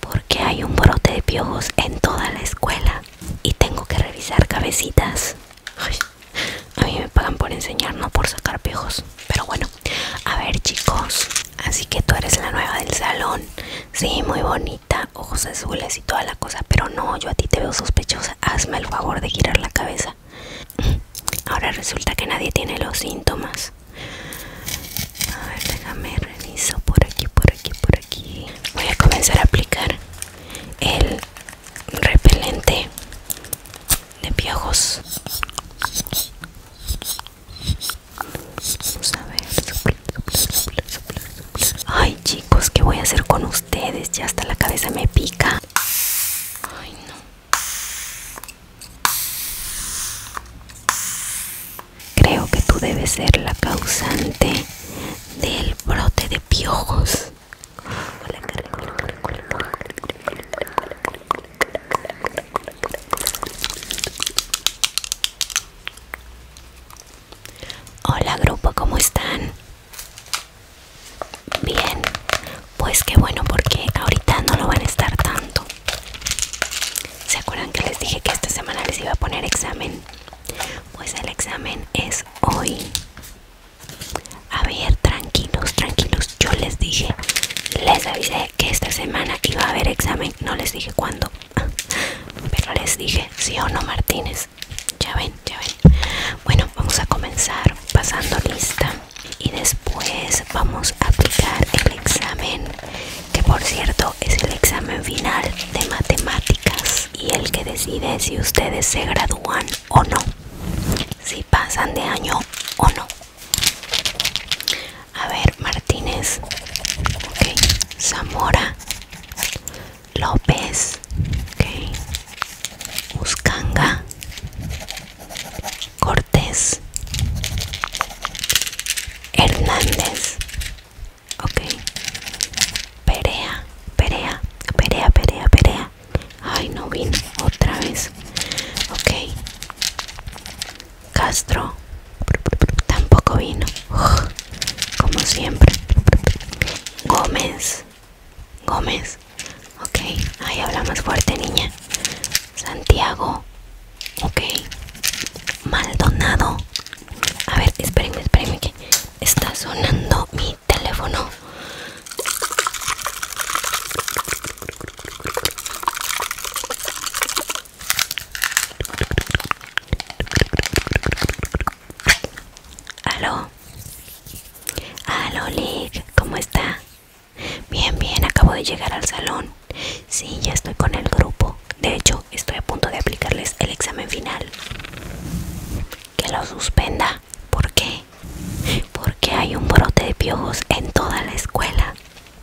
Porque hay un brote de piojos en toda la escuela y tengo que revisar cabecitas. a mí me pagan por enseñar, no por sacar piojos. Pero bueno, a ver chicos, así que tú eres la nueva del salón. Sí, muy bonita, ojos azules y toda la cosa, pero no, yo a ti te veo sospechosa. Hazme el favor de girar la cabeza. Ahora resulta que nadie tiene los síntomas a ver déjame reviso por aquí por aquí por aquí voy a comenzar a aplicar el repelente de piojos vamos a ver ay chicos qué voy a hacer con ustedes ya hasta la cabeza me pica ay no Creo que tú debes ser la causante del brote de piojos. Hola grupo, ¿cómo están? Bien, pues qué bueno porque ahorita no lo van a estar tanto. ¿Se acuerdan que les dije que esta semana les iba a poner examen? Pues el examen es hoy. A ver, tranquilos, tranquilos. Yo les dije, les avisé que esta semana iba a haber examen. No les dije cuándo, pero les dije, sí o no, Martínez. Ya ven, ya ven. Bueno, vamos a comenzar pasando lista y después vamos a aplicar el examen que por cierto es el examen final de matemáticas y el que decide si ustedes se gradúan o no, si pasan de año o no. A ver, Martínez, Zamora, López, okay. Cortés Hernández Ok Perea, Perea, Perea, Perea, Perea Ay, no vino otra vez Ok Castro Tampoco vino Como siempre Gómez Gómez Ok, ahí habla más fuerte niña Santiago, ok, Maldonado. A ver, espérenme, espérenme que está sonando mi teléfono. Aló, aló, Lick, ¿cómo está? Bien, bien, acabo de llegar al salón. Sí, ya estoy con el grupo. De hecho, estoy a punto de aplicarles el examen final. Que lo suspenda. ¿Por qué? Porque hay un brote de piojos en toda la escuela.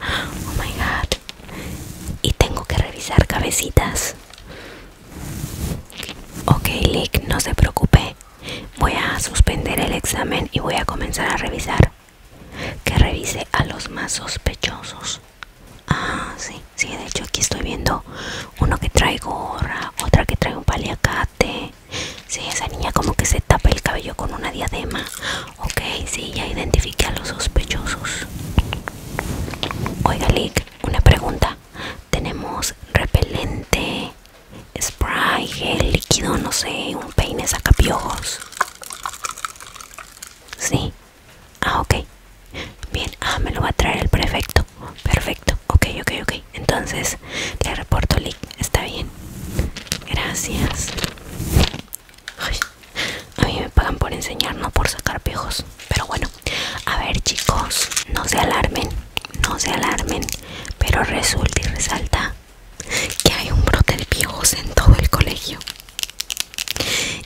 Oh my god. Y tengo que revisar cabecitas. Ok, Lick, no se preocupe. Voy a suspender el examen y voy a comenzar a revisar que revise a los más sospechosos. Ah, sí, sí, de hecho aquí estoy viendo uno que trae gorra, otra que trae un paliacate. Sí, esa niña como que se tapa el cabello con una diadema. Ok, sí, ya identifique a los sospechosos. Oiga, Lick, una pregunta. Tenemos repelente, spray, gel líquido, no sé, un peine sacapiojos. Sí. Ah, ok. Bien, ah, me lo va a traer el prefecto. Perfecto. Ok, ok, ok. Entonces, le reporto link. Está bien. Gracias. a mí me pagan por enseñar, no por sacar pijos. Pero bueno, a ver chicos, no se alarmen, no se alarmen. Pero resulta y resalta que hay un brote de piojos en todo el colegio.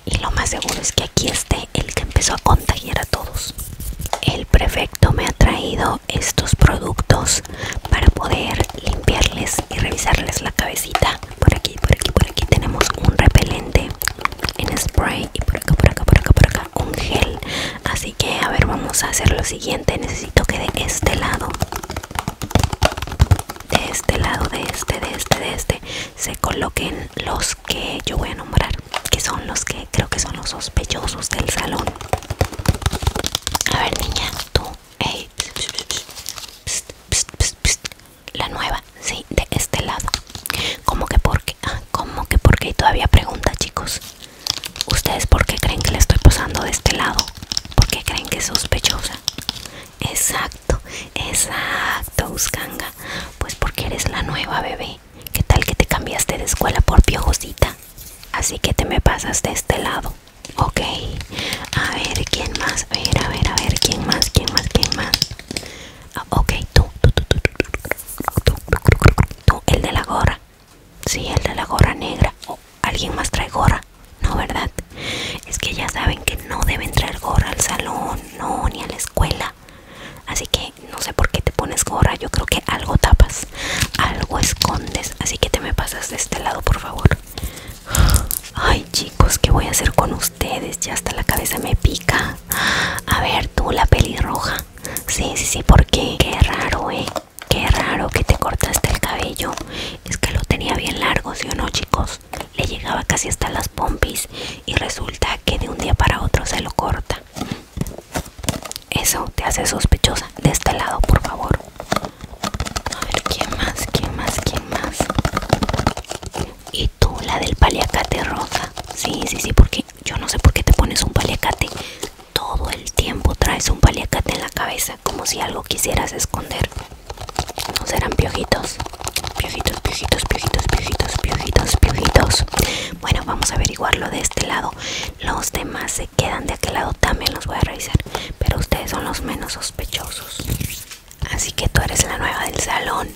Y lo más seguro es que aquí esté el que empezó a contagiar a todos. El prefecto me ha traído estos productos para poder limpiarles y revisarles la cabecita. Por aquí, por aquí, por aquí tenemos un repelente en spray y por acá, por acá, por acá, por acá un gel. Así que a ver, vamos a hacer lo siguiente. Necesito que de este lado de este lado de este de este de este se coloquen los que yo voy a nombrar que son los que creo que son los sospechosos del salón a ver niña tú la nueva sí de este lado como que porque ah, como que porque todavía pregunta chicos ¿Ustedes por qué creen que le estoy posando de este lado? ¿Por qué creen que es sospechosa? Exacto, exacto, Uscanga. Pues porque eres la nueva bebé. ¿Qué tal que te cambiaste de escuela por piojosita? Así que te me pasas de este lado. Ok, a ver, ¿quién más? A ver, a ver, a ver, ¿quién más? ¿Quién más? ¿Quién más? tú, tú, tú, tú, tú, tú, tú, tú, tú, tú, el de la gorra si el de la gorra negra. o ¿Alguien más trae gorra? No, ¿verdad? Es que ya saben que no deben traer gorra al salón, no, ni a la escuela. Así que no sé por qué te pones gorra. Yo creo que algo tapas, algo escondes. Así que te me pasas de este lado, por favor. Ay, chicos, ¿qué voy a hacer con ustedes? Ya hasta la cabeza me pica. A ver, tú, la pelirroja. Sí, sí, sí, porque qué raro, eh. Qué raro que te cortaste el cabello. Es que lo tenía bien largo, ¿sí o no, chicos? Le llegaba casi hasta las pompis y resulta que de un día para otro se lo corta. Eso te hace sospechosa. De este lado, por favor. A ver, ¿quién más? ¿Quién más? ¿Quién más? Y tú, la del paliacate rosa. Sí, sí, sí, porque yo no sé por qué te pones un paliacate todo el tiempo traes un paliacate en la cabeza como si algo quisieras esconder. No serán piojitos. Piojitos, piojitos, piojitos, piojitos, piojitos, piojitos. Bueno, vamos a averiguarlo de este lado. Los demás se quedan de aquel lado, también los voy a revisar. Pero ustedes son los menos sospechosos. Así que tú eres la nueva del salón.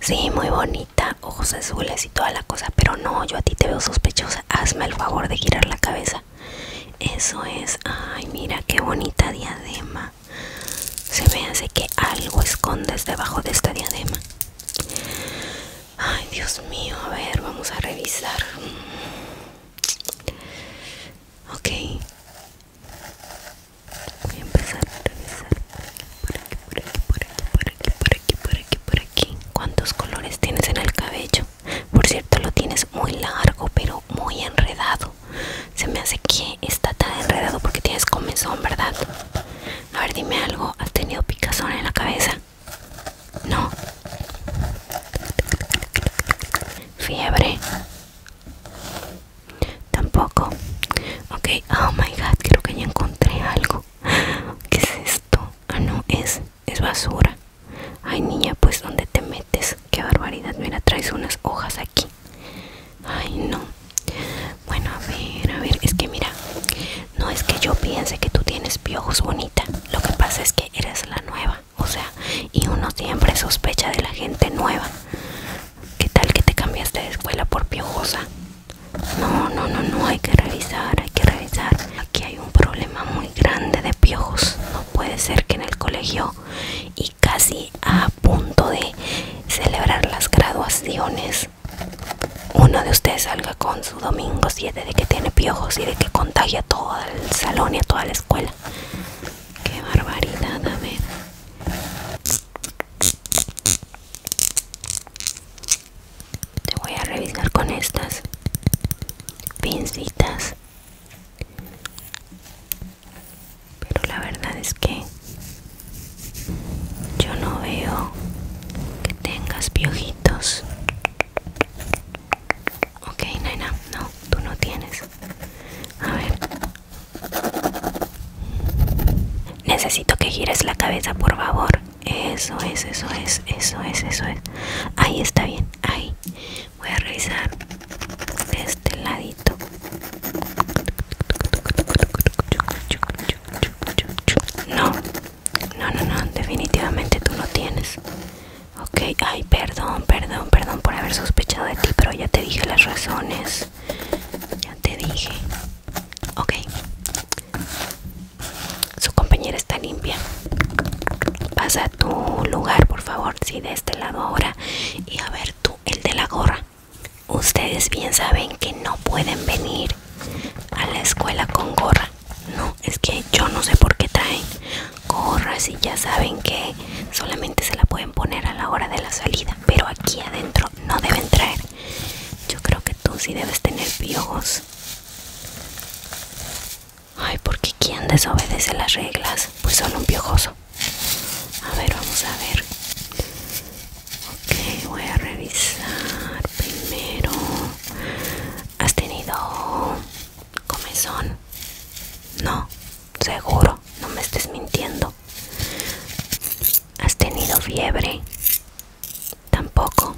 Sí, muy bonita, ojos azules y toda la cosa. Pero no, yo a ti te veo sospechosa. Hazme el favor de girar la cabeza eso es. Ay, mira qué bonita diadema. Se me hace que algo escondes debajo de esta diadema. Ay, Dios mío. A ver, vamos a revisar. Mm. Ok. Voy a empezar a revisar por aquí, por aquí, por aquí, por aquí, por aquí, por aquí, por aquí. ¿Cuántos colores tienes en el cabello? Por cierto, lo tienes muy largo, pero muy enredado. Se me hace que está tan enredado porque tienes comezón, ¿verdad? A ver, dime algo. ¿Has tenido picazón en la cabeza? No. Fiebre. Tampoco. Ok, oh my god, creo que ya encontré algo. ¿Qué es esto? Ah, no, es, es basura. Ay niña, pues donde te metes? Qué barbaridad, mira, traes unas hojas aquí. Ay no. Bueno, a ver, a ver, es que mira, no es que yo piense que tú tienes piojos bonita. Lo que pasa es que eres la nueva. O sea, y uno siempre sospecha de la gente nueva. ¿Qué tal que te cambiaste de escuela por piojosa? No, no, no, no, hay que revisar, hay que revisar. Aquí hay un problema muy grande de piojos. No puede ser que en el colegio y casi a punto de celebrar las graduaciones, uno de ustedes salga con su domingo 7 de que tiene piojos y de que contagia a todo el salón y a toda la escuela. Qué barbaridad, a ver te voy a revisar con estas pincitas pero la verdad es que yo no veo que tengas piojitos ok nena no tú no tienes a ver necesito que gires la cabeza por favor eso es, eso es, eso es, eso es. Ahí está bien, ahí. Voy a revisar de este ladito. No, no, no, no, definitivamente tú no tienes. Ok, ay, perdón, perdón, perdón por haber sospechado de ti, pero ya te dije las razones. Ya te dije. Ok. Su compañera está limpia. Pasa a tu lugar, por favor. si de este lado ahora. Y a ver tú, el de la gorra. Ustedes bien saben que no pueden venir a la escuela con gorra. No, es que yo no sé por qué traen gorras y ya saben que solamente se la pueden poner a la hora de la salida. Pero aquí adentro no deben traer. Yo creo que tú sí debes tener piojos Ay, porque quien desobedece las reglas, pues solo un piojoso. A ver, vamos a ver. Ok, voy a revisar primero. ¿Has tenido comezón? No, seguro, no me estés mintiendo. ¿Has tenido fiebre? Tampoco.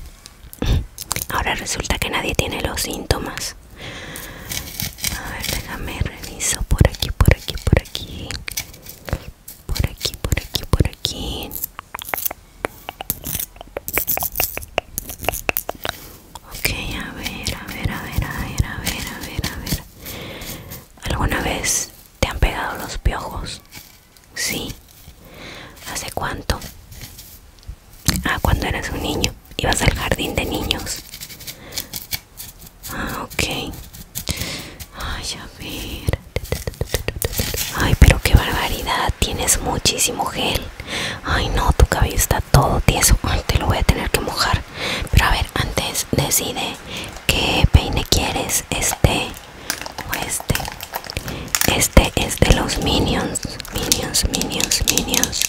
Ahora resulta que nadie tiene los síntomas. A ver, déjame reviso por aquí, por aquí, por aquí. Por aquí, por aquí, por aquí. Ok, a ver, a ver, a ver, a ver, a ver, a ver, a ver. ¿Alguna vez te han pegado los piojos? Sí. ¿Hace cuánto? Ah, cuando eras un niño. Ibas al jardín de niños. Ah, ok. Ay, a ver. Ay, pero qué barbaridad. Tienes muchísimo gel. Ay, no, tu cabello está todo tieso. te lo voy a tener que mojar. Pero a ver, antes decide qué peine quieres. Este este este es de los minions minions minions minions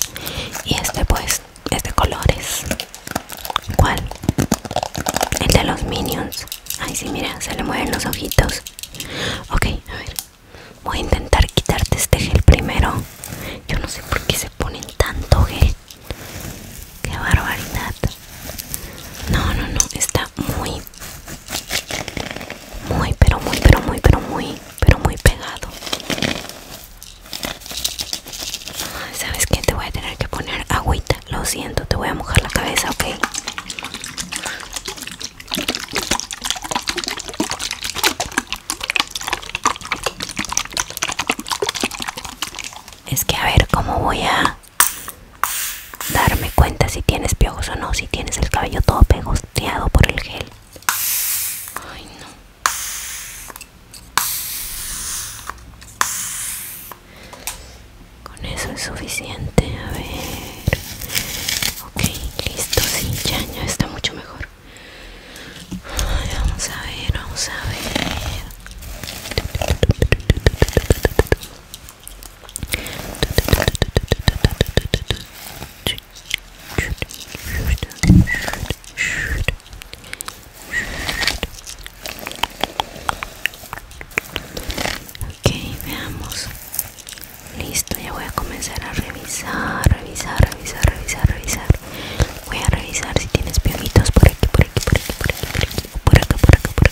y este pues es de colores cuál el de los minions ay sí mira se le mueven los ojitos ok a ver voy a intentar quitarte este gel primero yo no sé por qué se ponen tanto gel qué barbaridad no no no está muy muy pero muy pero muy pero muy pero muy pegado sabes que te voy a tener que poner agüita lo siento te voy a mojar la cabeza ok es que a ver cómo voy a darme cuenta si tienes piojos o no, si tienes el cabello todo pegosteado por el gel. Ay, no. Con eso es suficiente, a ver. Ok, listo, sí, ya, ya está mucho mejor. vamos a ver, vamos a ver. Ok, veamos. Listo, ya voy a comenzar a revisar, revisar, revisar, revisar, revisar. Voy a revisar si tienes piojitos por aquí, por aquí, por aquí, por aquí, por aquí, por acá, por acá, por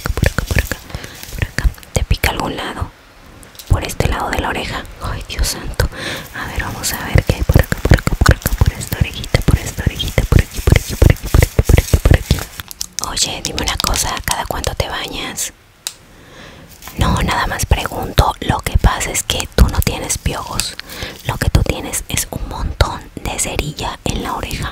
acá, por acá, por acá, te pica algún lado por este lado de la oreja ay dios santo a ver vamos a ver qué hay por acá por acá por acá por esta orejita por esta orejita por aquí por aquí por aquí por aquí por aquí oye dime una cosa cada cuánto te bañas no nada más pregunto lo que pasa es que tú no tienes piojos lo que tú tienes es un montón de cerilla en la oreja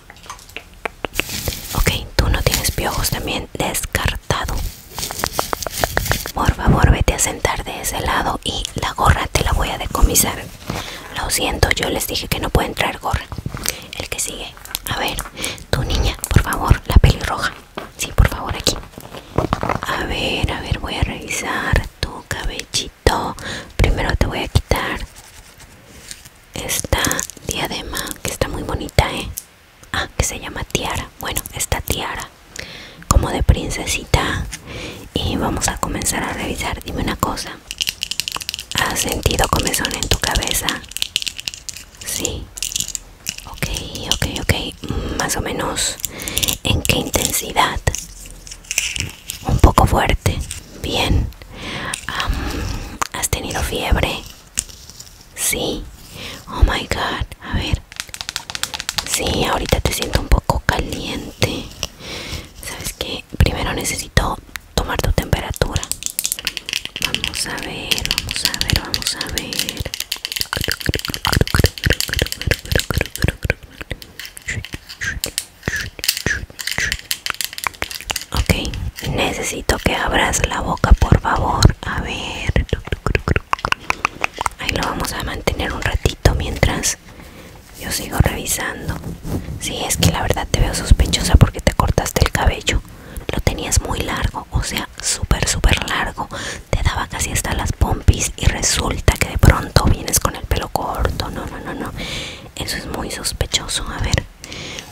Ok, tú no tienes piojos también, descartado. Por favor, vete a sentar de ese lado y la gorra te la voy a decomisar. Lo siento, yo les dije que no puede entrar gorra. El que sigue. A ver, tu niña, por favor, la pelirroja. Sí, por favor, aquí. A ver, a ver, voy a revisar tu cabellito. Primero te voy a quitar esta diadema que está muy bonita, ¿eh? Ah, que se llama tiara. Bueno, esta tiara como de princesita. Y vamos a comenzar a revisar. Dime una cosa. ¿Has sentido comezón en tu cabeza? Sí. Ok, ok, ok. Más o menos. ¿En qué intensidad? Un poco fuerte. Bien. ¿Has tenido fiebre? Sí. Oh my god. A ver. Sí, ahorita te siento un poco caliente. ¿Sabes que, Primero necesito tomar tu temperatura. Vamos a ver, vamos a ver, vamos a ver. Ok, necesito que abras la boca, por favor. A ver. Ahí lo vamos a mantener un ratito mientras yo sigo revisando. si es que la verdad te veo sospechosa porque te cortaste el cabello. Lo tenías muy largo, o sea, súper, súper largo. Te daba casi hasta las pompis y resulta que de pronto vienes con el pelo corto. No, no, no, no. Eso es muy sospechoso. A ver.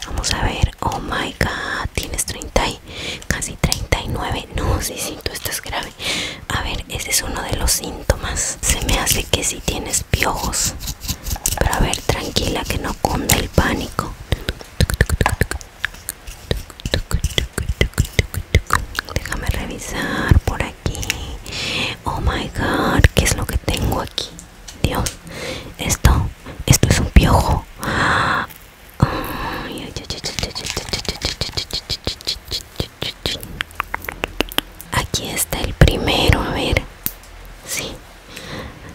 Vamos a ver, oh my god, tienes 30 y casi 39. No, sí, sí, tú estás grave. A ver, ese es uno de los síntomas. Se me hace que si tienes piojos. Pero a ver, tranquila, que no cunda el pánico. Déjame revisar por aquí. Oh my god, ¿qué es lo que tengo aquí? Dios, esto, esto es un piojo. Aquí está el primero, a ver. Sí,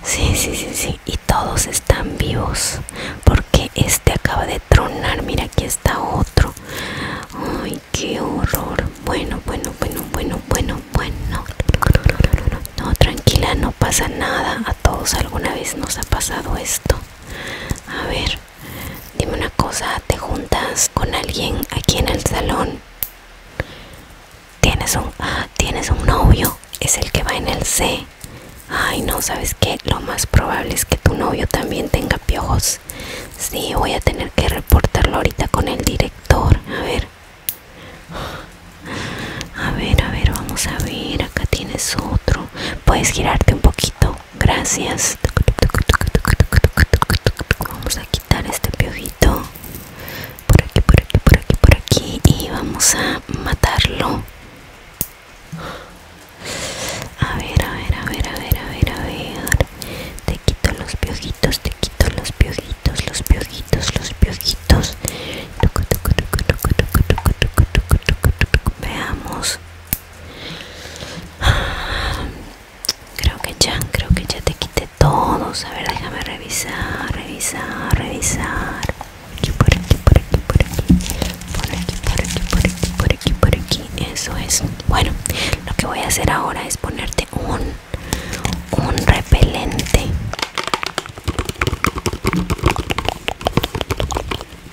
sí, sí, sí, sí. Y todos están vivos. Porque este acaba de tronar. Mira, aquí está otro. Ay, qué horror. Bueno, bueno, bueno, bueno, bueno bueno no tranquila no pasa nada a todos alguna vez nos ha pasado esto a ver dime una cosa te juntas con alguien aquí en el salón tienes un ah, tienes un novio es el que va en el C ay no sabes qué? lo más probable es que tu novio también tenga piojos sí voy a tener que reportarlo ahorita con el director a ver a ver, a ver, vamos a ver. Acá tienes otro. Puedes girarte un poquito. Gracias. Vamos a quitar este piojito. Por aquí, por aquí, por aquí, por aquí. Y vamos a matarlo. A ver, a ver, a ver, a ver, a ver, a ver. Te quito los piojitos, te quito los piojitos, los piojitos los piojitos. Veamos. Creo que ya, creo que ya te quité todos. A ver, déjame revisar, revisar, revisar. Aquí, por aquí, por aquí, por aquí. Por aquí, por aquí, por aquí, por aquí, por aquí. Eso es. Bueno, lo que voy a hacer ahora es ponerte un un repelente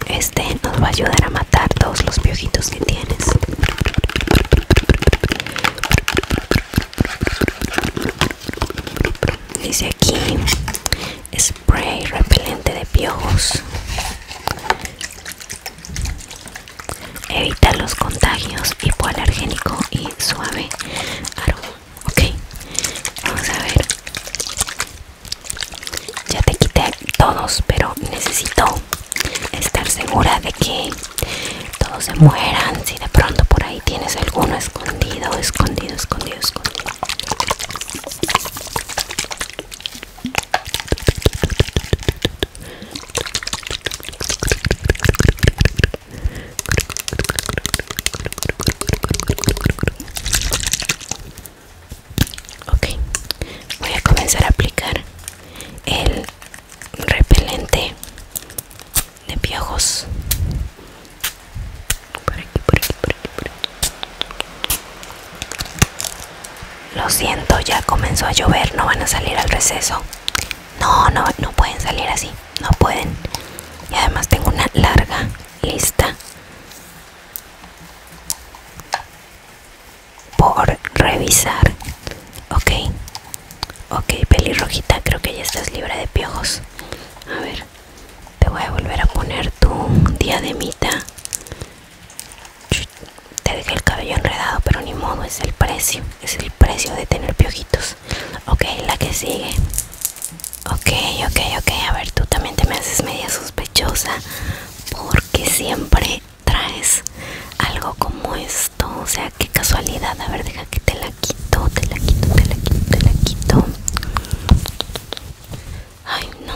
este nos va a ayudar a matar todos los piojitos que tienes dice aquí spray repelente de piojos evitar los contagios alergénico y suave aroma ok vamos a ver ya te quité todos pero necesito estar segura de que todos se mueran si de pronto por ahí tienes alguno escondido escondido escondido escondido Ok, voy a comenzar a aplicar el repelente de piojos. Por aquí, por aquí, por aquí, Lo siento, ya comenzó a llover, no van a salir al receso. No, no, no pueden salir así. No pueden. Y además tengo una larga lista por revisar. Ok. Ok, pelirrojita, creo que ya estás libre de piojos. A ver, te voy a volver a poner tu diademita. Te dejé el cabello enredado, pero ni modo, es el precio es el precio de tener piojitos. Ok, la que sigue. Ok, ok, ok. A ver, tú también te me haces media sospechosa porque siempre traes algo como esto. O sea, qué casualidad. A ver, deja que te la quito, te la quito, te la quito, te la quito. Ay, no.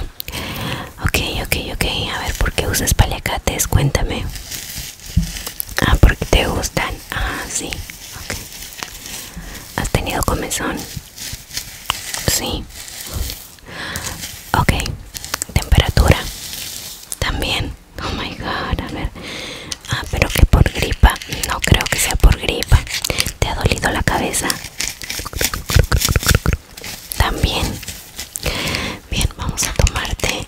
Ok, ok, ok. A ver, ¿por qué usas paliacates? Cuéntame. Ah, porque te gustan. Ah, sí. ¿Has tenido comezón? Sí. Ok. Temperatura. También. Oh my god, a ver. Ah, pero que por gripa. No creo que sea por gripa. ¿Te ha dolido la cabeza? También. Bien, vamos a tomarte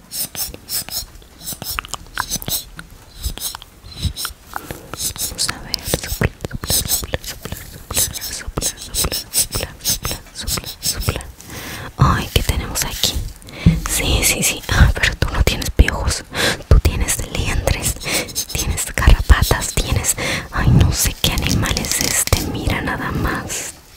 Vamos a ver, Ay, ¿qué tenemos aquí? Sí, sí, sí. Ah, pero tú no tienes piojos. Tú tienes liendres, tienes garrapatas, tienes... Ay, no sé qué animal es este. Mira nada más.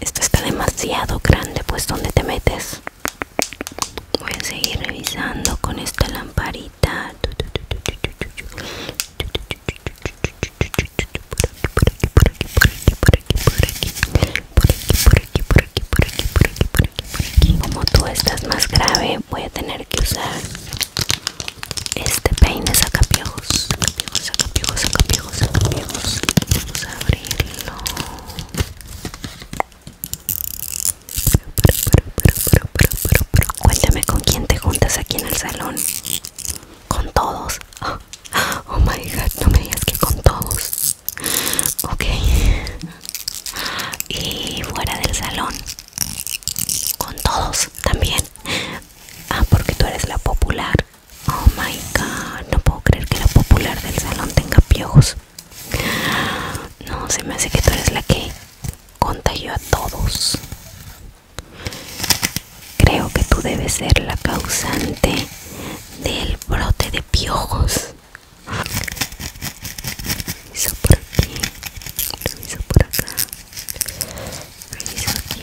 esto está demasiado grande, pues ¿dónde te metes? Voy a seguir revisando con esta lamparita. Como tú estás más grave, voy a tener que usar este peine sacapiojos. sacapiojos amigos, vamos a abrirlo. Pero, pero, pero, pero, pero, Cuéntame con quién te juntas aquí en el salón. Con todos. Oh, oh my god, no me digas que con todos. Ok. Y fuera del salón. Con todos también. Ah, porque tú eres la popular. Oh my god, no puedo creer que la popular del salón tenga piojos. No, se me hace que tú eres la que contagió a todos. Creo que tú debes ser la causante del brote de piojos. Eso por aquí, por acá, aquí.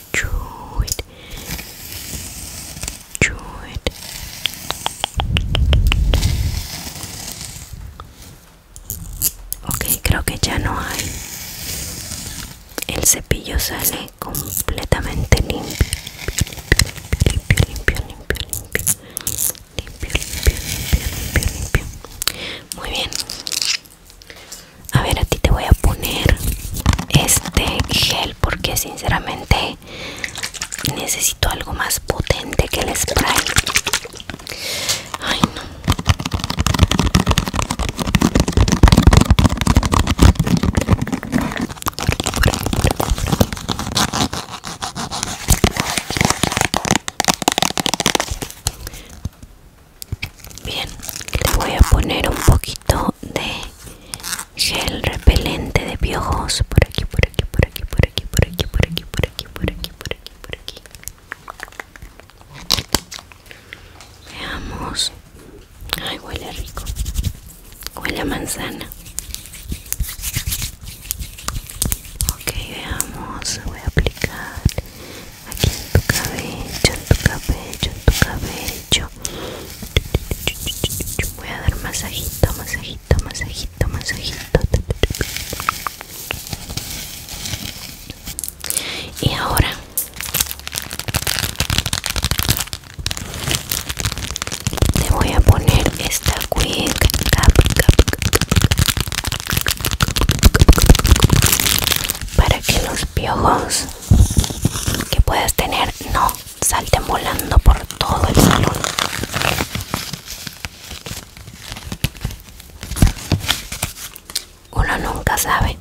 it, Ok, creo que ya no hay. El cepillo sale completamente limpio. Limpio, limpio, limpio, limpio. Limpio, limpio, limpio, limpio, limpio. Muy bien. A ver, a ti te voy a poner este gel porque sinceramente necesito algo más potente que el spray. Ay, no. Bien, le voy a poner un poquito de gel repelente de piojos por aquí, por aquí, por aquí, por aquí, por aquí, por aquí, por aquí, por aquí, por aquí, por aquí. Veamos. Ay, huele rico. Huele a manzana. Ok, veamos. Voy a aplicar aquí en tu cabello, en tu cabello, en tu cabello. Voy a dar masajito, masajito, masajito, masajito. Y ahora te voy a poner esta quick para que los piojos que puedes tener no salte volando por todo el salón uno nunca sabe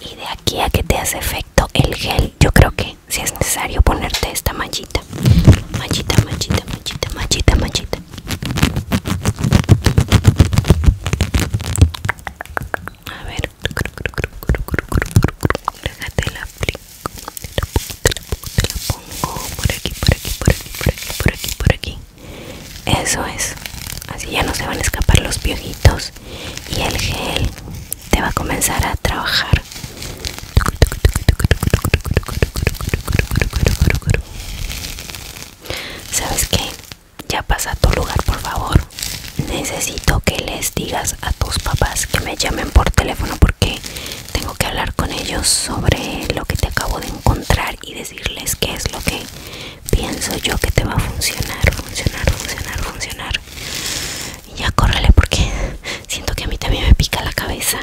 y de aquí a que te hace efecto el gel yo creo que si es necesario ponerte esta manchita machita machita manchita manchita manchita a ver, acá te la aplico. Te la, la pongo por aquí, por aquí, por aquí, por aquí, por aquí, por aquí. Eso es. Así ya no se van a escapar los piojitos y el gel te va a comenzar a trabajar. ¿Sabes qué? Ya pasa a tu lugar, por favor. Necesito que les digas a tus papás que me llamen por teléfono porque tengo que hablar con ellos sobre lo que te acabo de encontrar y decirles qué es lo que pienso yo que te va a funcionar, funcionar, funcionar, funcionar. Y ya córrele porque siento que a mí también me pica la cabeza.